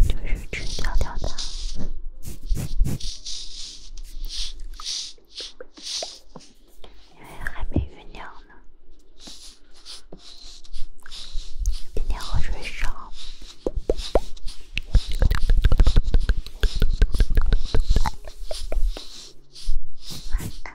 就是吃小吊糖，因为还没酝酿呢。今天喝水少。晚安。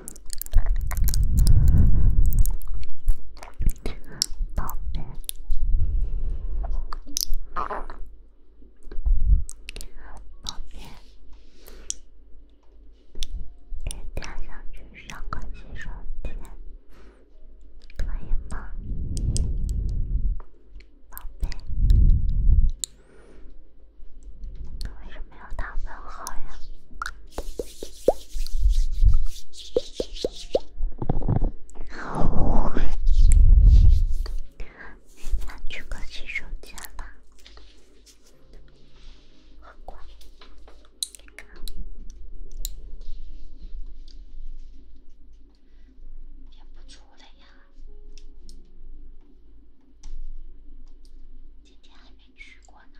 宝贝，宝贝，明天想去上个洗手间，可以吗？宝贝，为什么要打问号呀？我去个洗手间了，好困，憋不住了呀，今天还没去过呢。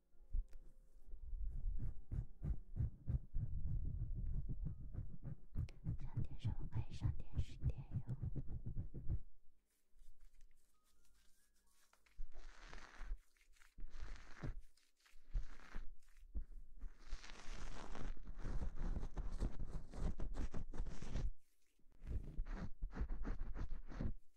想点什么？可以上电视、电影。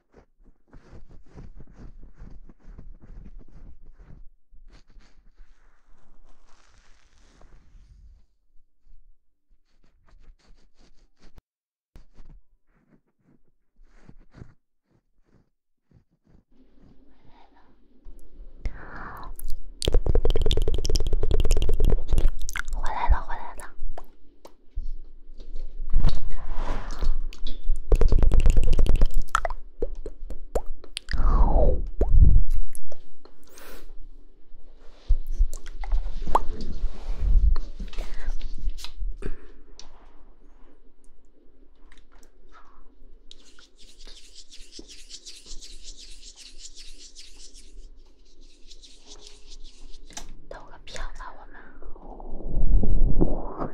回来了，回来了，回来了。投个票吧，我们。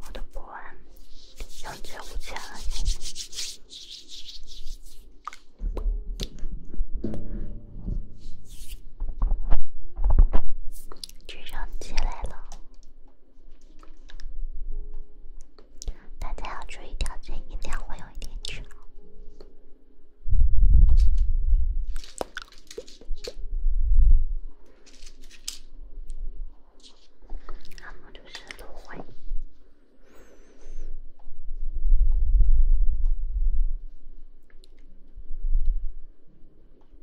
我的不安又出现起来了。大家要注意调节音量，会有一点吵。然后就是芦荟。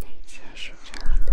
哪些是真的？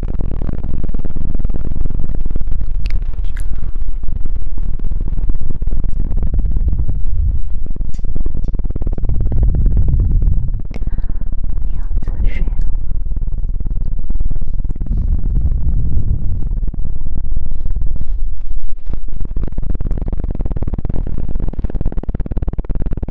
我要喝水了。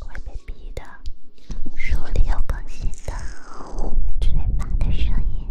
会被逼的。书里有更新的，最萌的声音。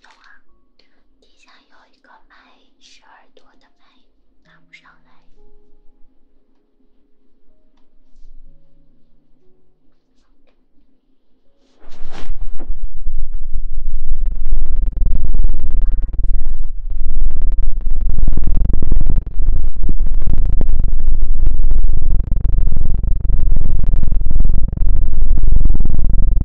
走啊！底下有一个麦，是耳朵的麦，拿不上来。妈的！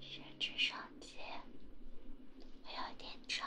设置手机，有点吵。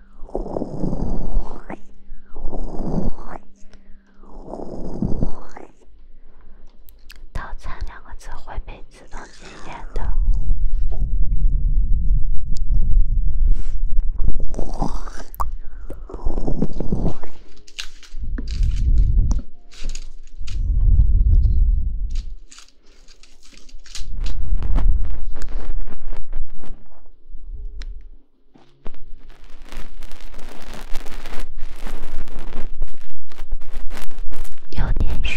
“早餐”两个字会被自动禁言的。有点凶。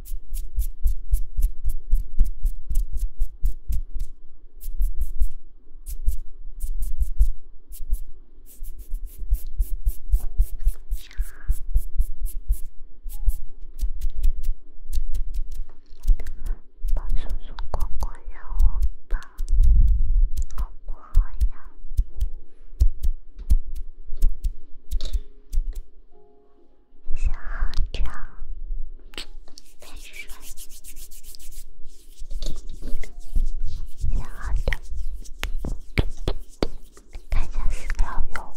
把叔叔、姑姑让我抱，好不好呀？小浩的，再睡。小浩的，看一下私聊有。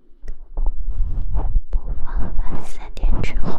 播放完三点之后。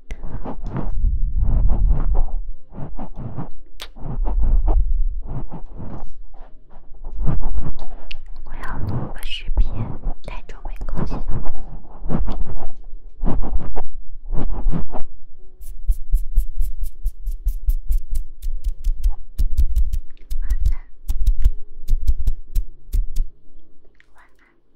我要录个视频，太久没更新。晚安，晚安。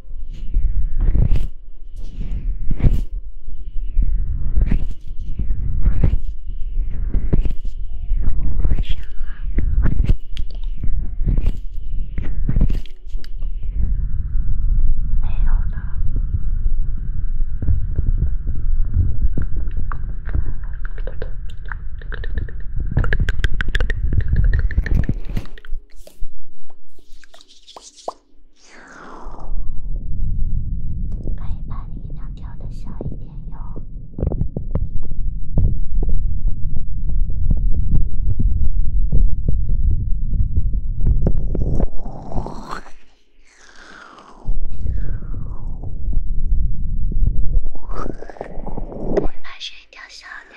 晚上好，没有了。可以把音量调的小一点哟。会发出一条小鸟。